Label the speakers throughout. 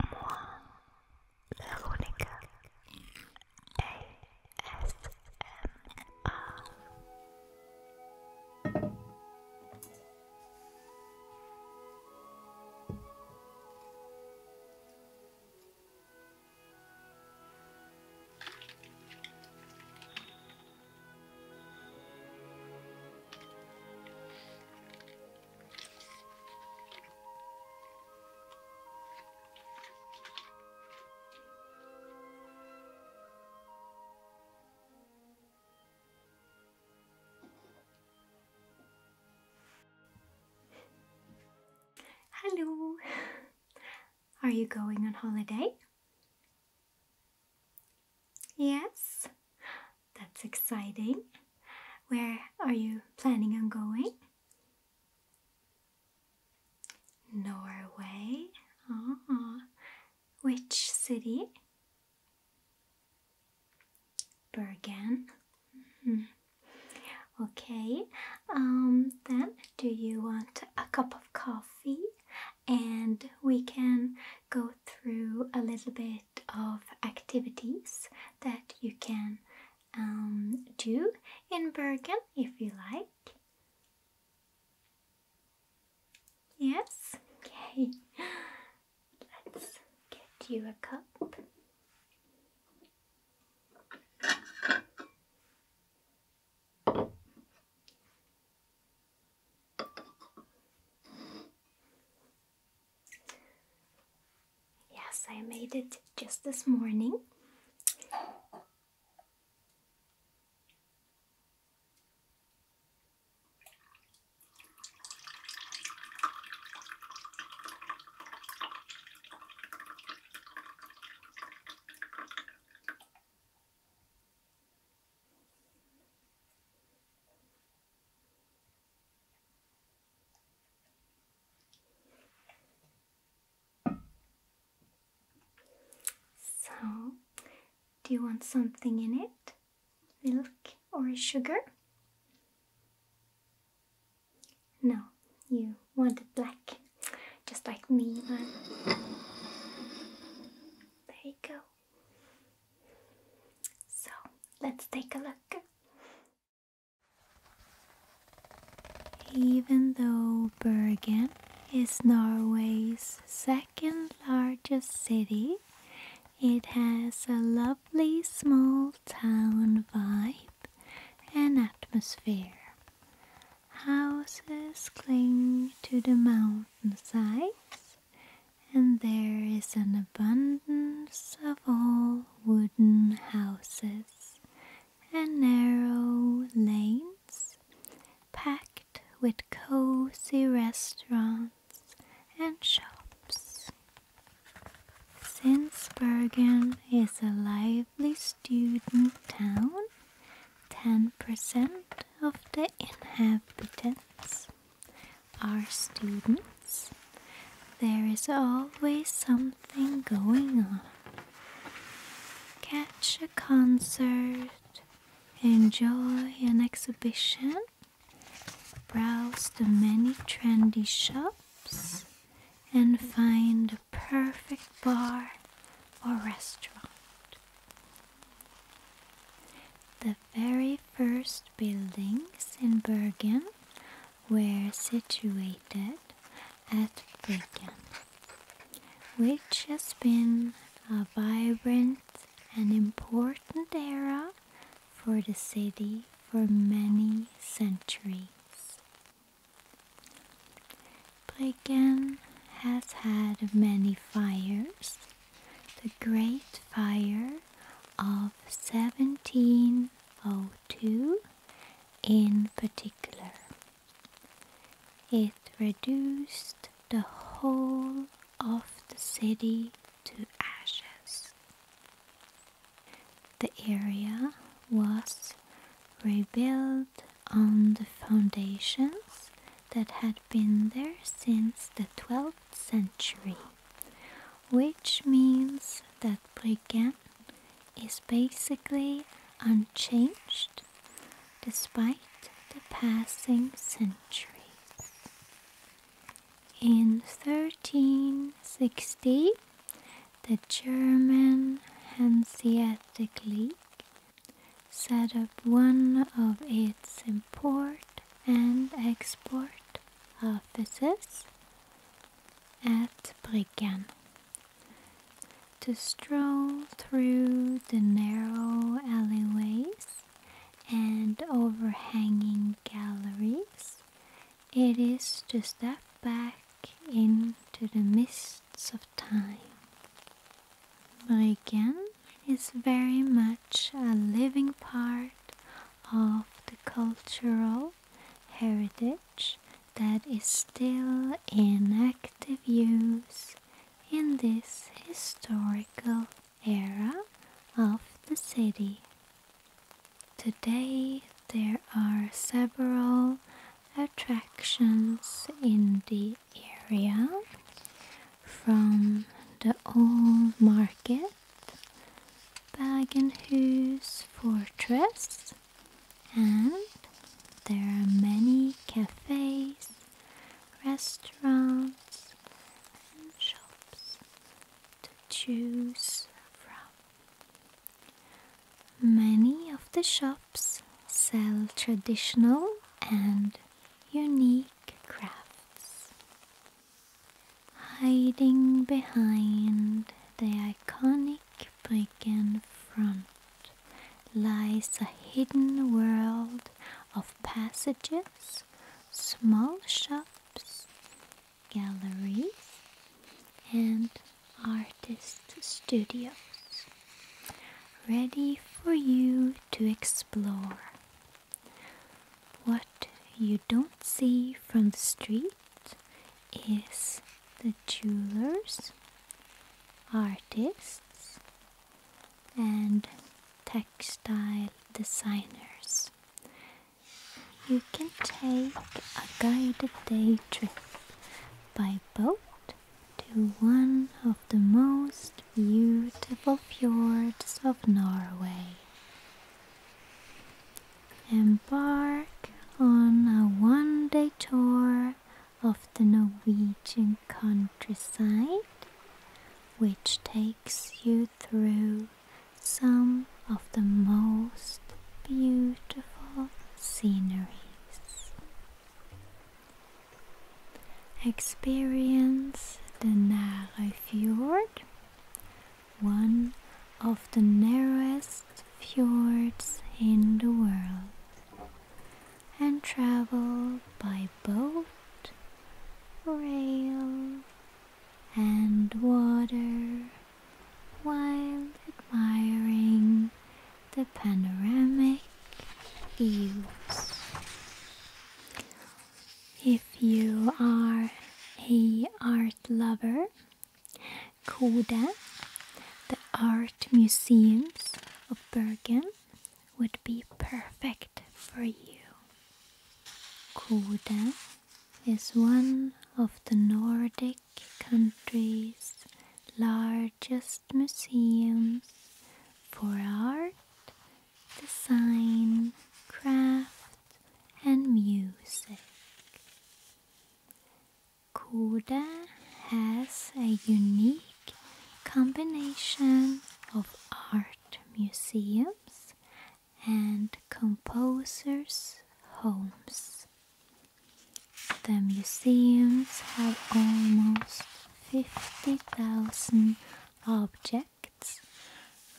Speaker 1: Moi, Veronica Hello! Are you going on holiday? Yes? That's exciting. Where are you planning on going? Norway. Ah, which city? Bergen. -hmm. Okay. Um, then, do you want a cup of coffee? And we can go through a little bit of activities that you can um, do in Bergen if you like. Yes? Okay. Let's get you a cup. Yes, I made it just this morning. So, do you want something in it? Milk or sugar? No, you want it black, just like me, man. There you go. So let's take a look. Even though Bergen is Norway's second largest city, it has a lovely small town vibe and atmosphere. Houses cling to the mountainsides, and there is an abundance of old wooden houses and narrow lanes packed with cozy restaurants and shops. Since Bergen is a lively student town, 10% of the inhabitants our students, there is always something going on. Catch a concert, enjoy an exhibition, browse the many trendy shops, and find a perfect bar or restaurant. The very first buildings in Bergen were situated at Bergen, which has been a vibrant and important era for the city for many centuries. Bryggen has had many fires. The Great Fire of 1702 in particular. It reduced the whole of the city to ashes. The area was rebuilt on the foundations that had been there since the 12th century which means that Brigand is basically unchanged despite the passing centuries. In 1360, the German Hanseatic League set up one of its Port and export offices at Bryggen. To stroll through the narrow alleyways and overhanging galleries, it is to step back into the mists of time. Bryggen is very much a living part of the cultural heritage that is still in active use in this historical era of the city. Today there are several attractions in the area from the old market Bagenhus Fortress, and there are many cafes, restaurants, and shops to choose from. Many of the shops sell traditional and unique crafts hiding behind the iconic brick and front lies a hidden world of passages, small shops, galleries, and artist studios, ready for you to explore. What you don't see from the street is the jewelers, artists, and textile designers. You can take a guided day trip by boat to one of the most beautiful fjords of Norway. Embark on a one day tour of the Norwegian countryside, which takes you through some of the most beautiful sceneries. Experience the fjord one of the narrowest fjords in the world and travel by boat, rail, and water while admiring the panoramic views. If you are a art lover, Koda, the art museums of Bergen would be perfect for you. Koda is one of the Nordic countries' largest museums for art, design, craft, and music. Koda has a unique combination of art museums and composers' homes. The museums have almost 50,000 objects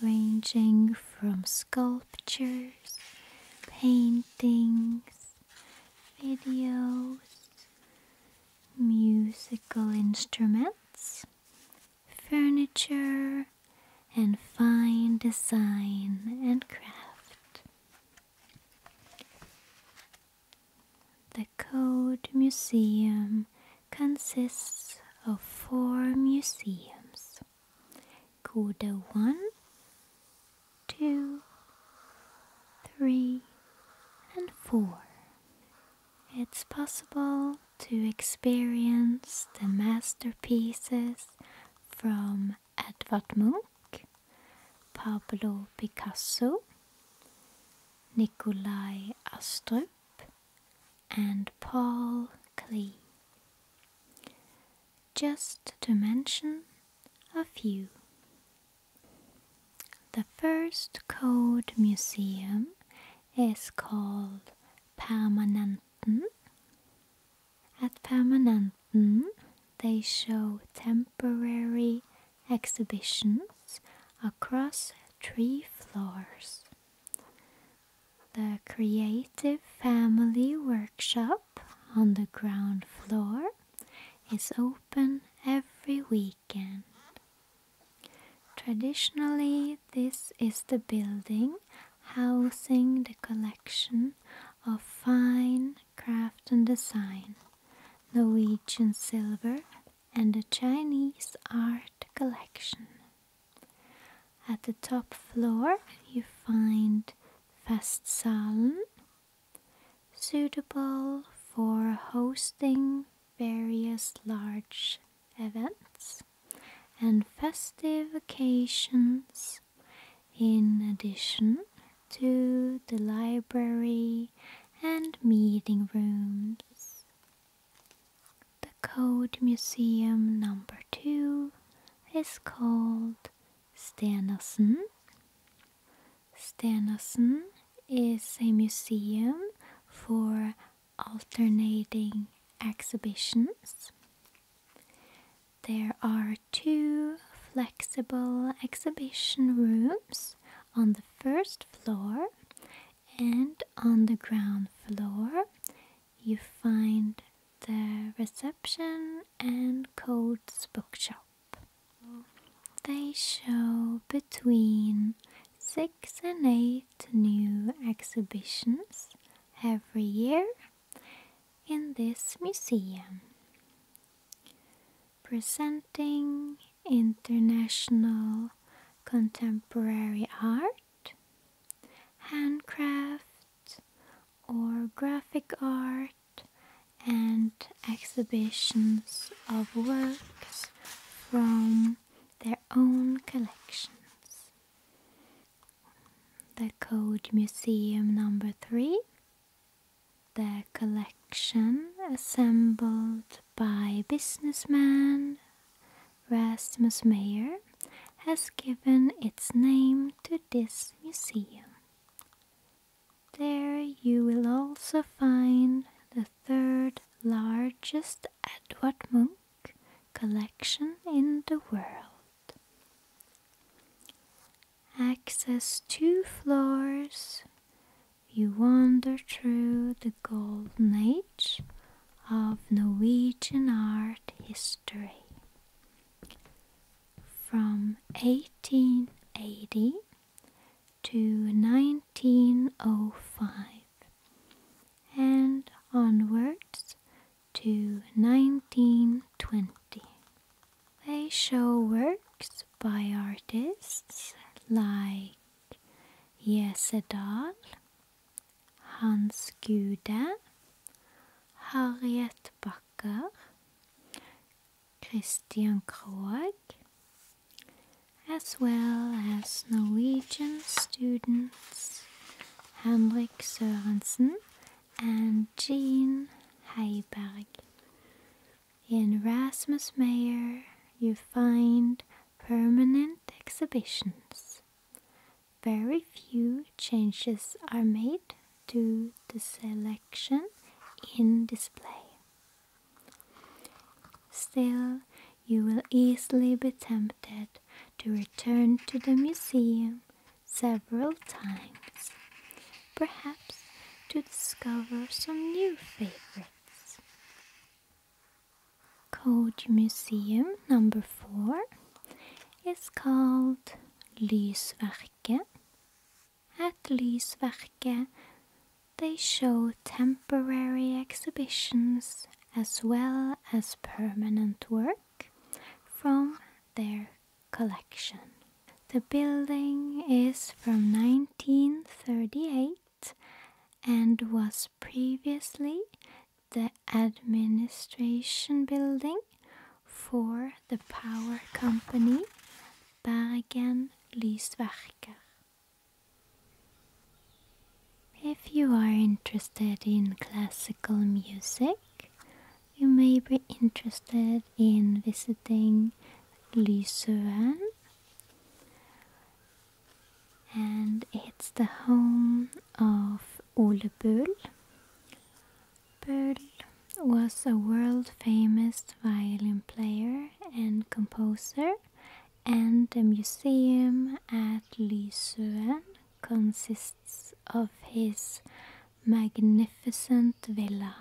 Speaker 1: ranging from sculptures, paintings, videos, musical instruments, furniture, and fine design and craft. The Code Museum consists of four museums rows. Quarter one, two, three, and four. It's possible to experience the masterpieces from Edvard Munch, Pablo Picasso, Nikolai Astrup, and Paul Klee. Just to mention a few. The first code museum is called Permanenten. At Permanenten, they show temporary exhibitions across three floors the Creative Family Workshop on the ground floor is open every weekend. Traditionally, this is the building housing the collection of fine craft and design, Norwegian silver, and the Chinese art collection. At the top floor you find Festsalen, suitable for hosting various large events and festive occasions in addition to the library and meeting rooms the code museum number two is called Stenersen. Stenersen is a museum for alternating exhibitions. There are two flexible exhibition rooms on the first floor and on the ground floor you find the reception and codes bookshop. They show between six and eight new exhibitions every year in this museum, presenting international contemporary art handcraft, or graphic art and exhibitions of works from their own collections. The Code Museum number 3 the collection assembled by businessmen Rasmus Mayer has given its name to this museum. There you will also find the third largest Edward Munk collection in the world. Access two floors, you wander through the Golden Age of Norwegian art history from 1880 to 1905 and onwards to 1920. They show works by artists like Jesse Dahl, Hans Gude, Harriet Bakker, Christian Krogh, as well as Norwegian students Henrik Sørensen and Jean Heiberg. In Rasmus Meyer, you find permanent exhibitions, very few changes are made to the selection in display. Still, you will easily be tempted to return to the museum several times, perhaps to discover some new favorites. Code Museum number four is called Lysverket. At Lysverket, they show temporary exhibitions as well as permanent work from their collection. The building is from 1938 and was previously the administration building for the power company Bergen Lysverker. If you are interested in classical music, you may be interested in visiting Lysøen and it's the home of Ole Bull. Bull was a world famous violin player and composer, and the museum at Lysuen consists of his magnificent villa.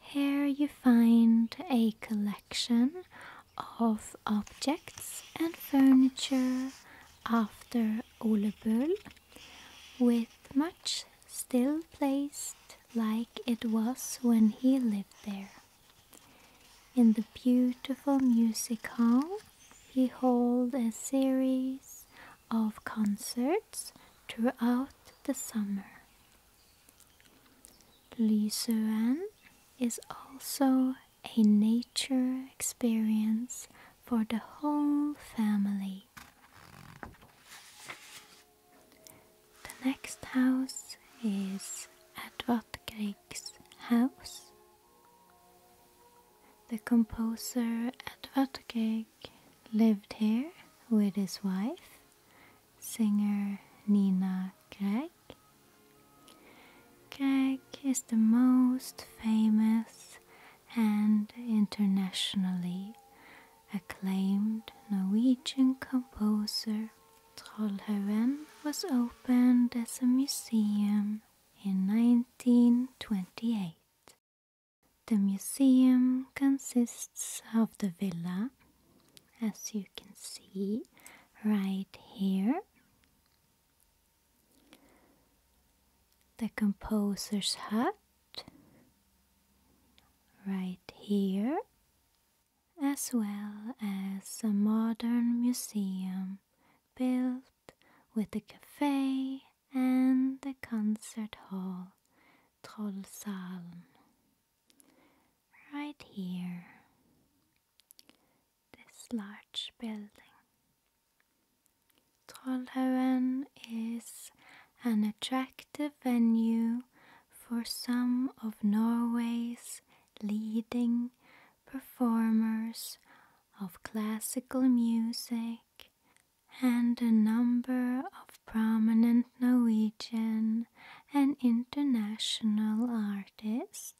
Speaker 1: Here you find a collection of objects and furniture after Ole Bull, with much still placed like it was when he lived there. In the beautiful music hall, he held a series of concerts throughout the summer. Li is also a nature experience for the whole family. The next house is Edvard Grieg's house. The composer Edvard Grieg lived here with his wife, singer Nina Grieg, Cake is the most famous and internationally acclaimed Norwegian composer. Trollhaugen was opened as a museum in 1928. The museum consists of the villa, as you can see right here, the composer's hut right here, as well as a modern museum built with a cafe and the concert hall Trollsalen right here this large building. Trollhaugen is an attractive venue for some of Norway's leading performers of classical music and a number of prominent Norwegian and international artists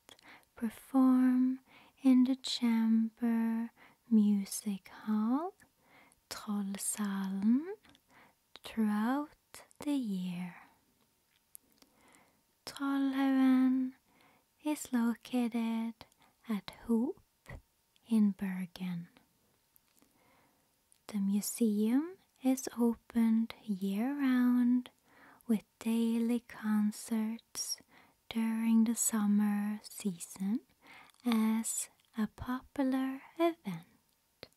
Speaker 1: perform in the chamber music hall Trollsalen throughout the year. Trollhaugen is located at Hoop in Bergen. The museum is opened year round with daily concerts during the summer season as a popular event.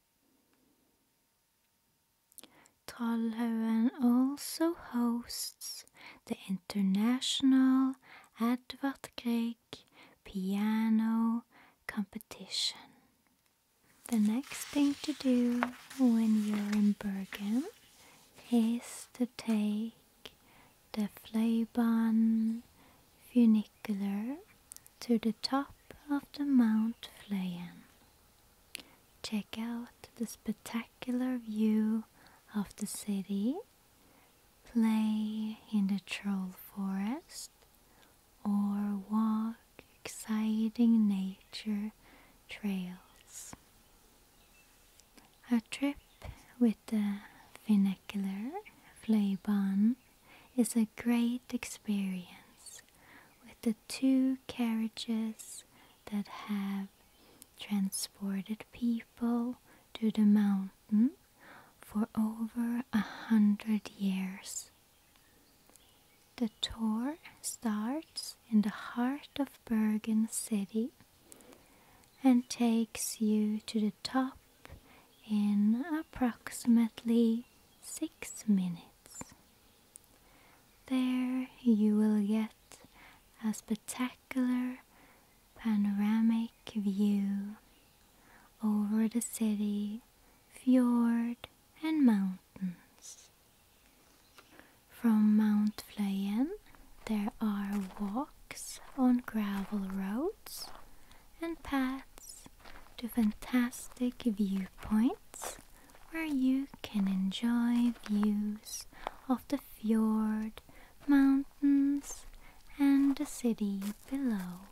Speaker 1: Trollhaugen also hosts the International Edvard Grieg Piano Competition. The next thing to do when you're in Bergen is to take the Fleiban funicular to the top of the Mount Fleyen. Check out the spectacular view of the city, play in the troll forest, or walk exciting nature trails. A trip with the funicular Flaubon is a great experience with the two carriages that have transported people to the mountain for over a hundred years. The tour starts in the heart of Bergen city and takes you to the top in approximately 6 minutes. There you will get a spectacular panoramic view over the city, fjord, and mountains. From Mount Fleuyen, there are walks on gravel roads and paths to fantastic viewpoints where you can enjoy views of the fjord, mountains, and the city below.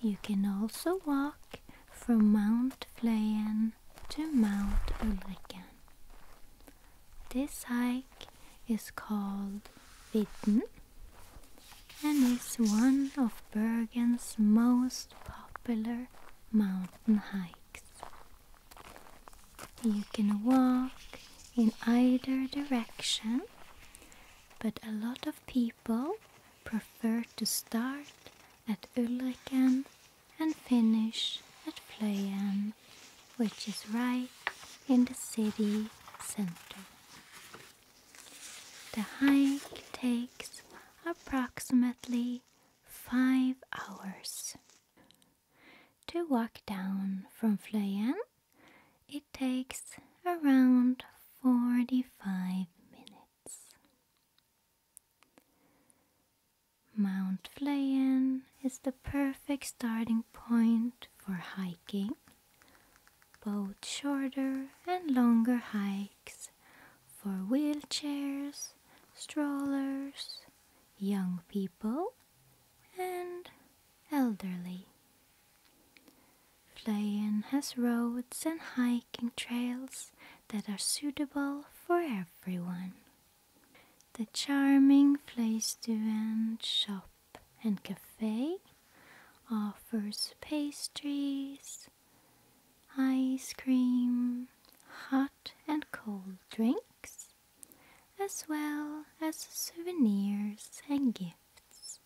Speaker 1: You can also walk from Mount Fleuyen to Mount Ulriken. This hike is called Vidden and is one of Bergen's most popular mountain hikes. You can walk in either direction, but a lot of people prefer to start at Ulriken and finish at Fløyen, which is right in the city center. The hike takes approximately five hours. To walk down from Fløyen, it takes around 45 minutes. Mount Flåen is the perfect starting point for hiking. Both shorter and longer hikes for wheelchairs, strollers, young people, and elderly. Flåen has roads and hiking trails that are suitable for everyone. The charming place to end shop and cafe offers pastries, ice cream, hot and cold drinks, as well as souvenirs and gifts.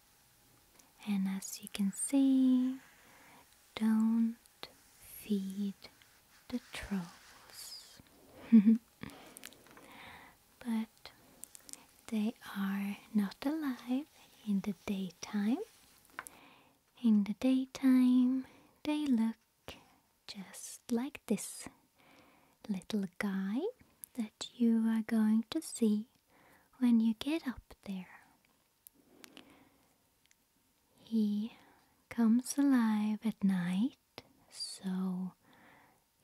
Speaker 1: And as you can see, don't feed the trolls. but they are not alive in the daytime. In the daytime, they look just like this little guy that you are going to see when you get up there. He comes alive at night so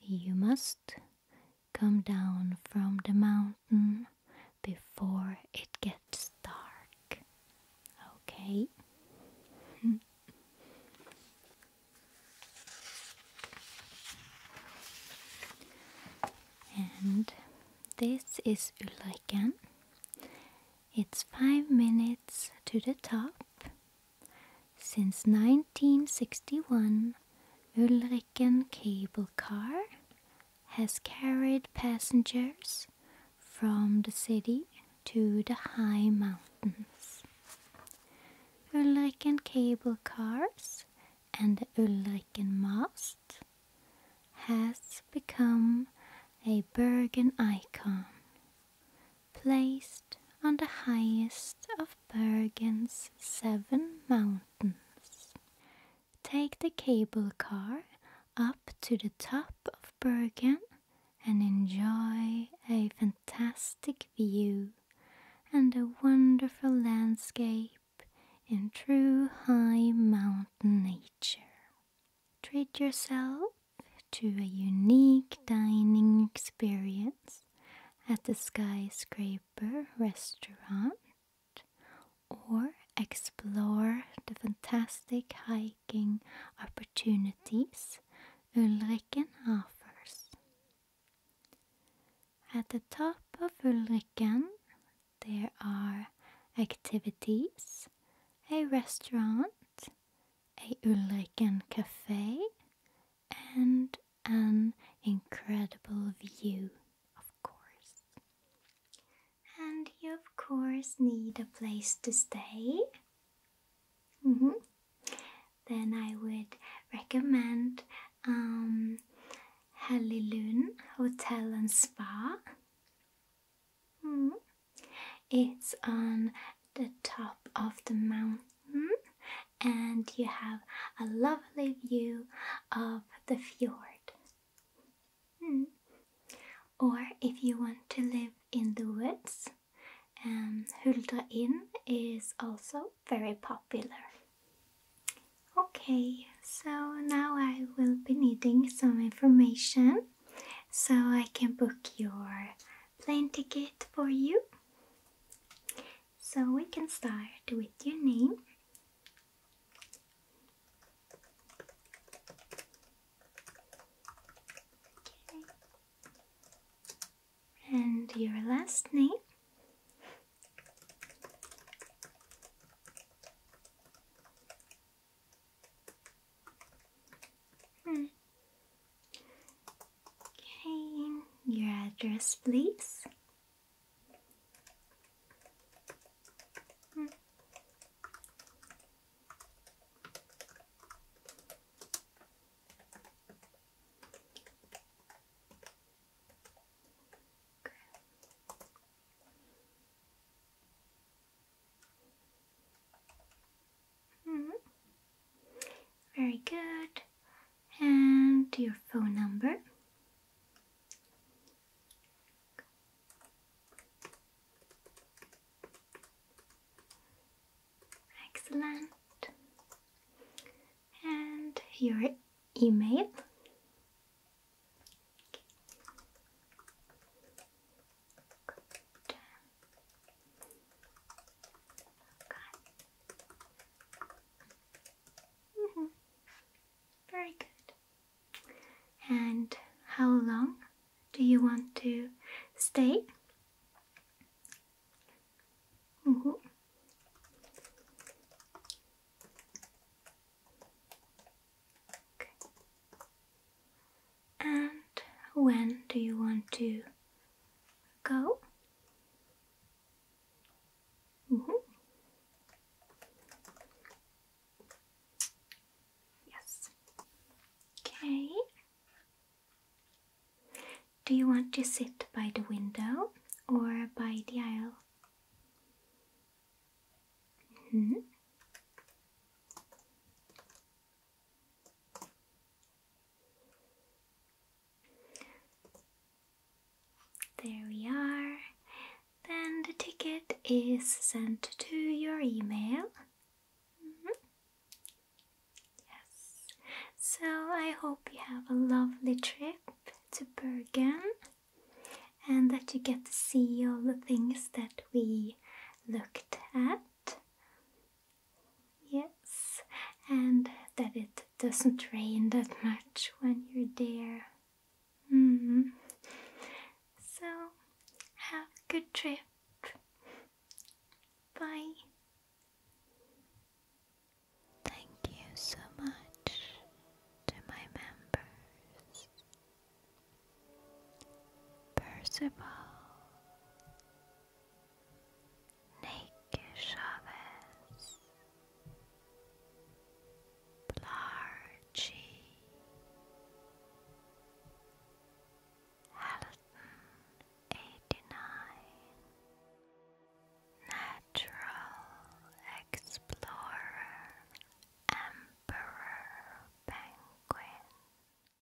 Speaker 1: you must come down from the mountain before it gets dark. Okay? and this is Ulriken. It's five minutes to the top since 1961, Ulriken Cable Car has carried passengers from the city to the high mountains. Ulriken Cable Cars and the Ulriken Mast has become a Bergen icon placed on the highest of Bergen's seven mountains. Take the cable car up to the top of Bergen and enjoy a fantastic view and a wonderful landscape in true high mountain nature. Treat yourself to a unique dining experience at the Skyscraper restaurant or explore the fantastic hiking opportunities Ulriken offers. At the top of Ulriken there are activities, a restaurant, a Ulriken cafe and an incredible view, of course. And you, of course, need a place to stay. Mm-hmm. Then I would recommend um, Halilun Hotel and Spa. Hmm. It's on the top of the mountain, and you have a lovely view of the fjord. Hmm. Or if you want to live in the woods, um, Hulda Inn is also very popular. Okay, so now I will be needing some information so I can book your plane ticket for you. So we can start with your name. Okay. And your last name. Hmm. Okay, your address, please. Hmm. Mm-hmm. Very good. And your phone number. Excellent. And your email. Very good. And how long do you want to stay? Mm-hmm. And when do you want to go? Mm-hmm. Yes. Okay. Do you want to sit by the window or by the aisle? -hmm. There we are. Then the ticket is sent to your email. Mm-hmm. Yes. So I hope you have a lovely trip to Bergen and that you get to see all the things that we looked at. Yes, and that it doesn't rain that much when you're there. Mm-hmm. So, have a good trip. Bye. Thank you so much to my members Percival. Nick Chavez, Blargy, Halton eighty nine, Natural Explorer, Emperor Penguin.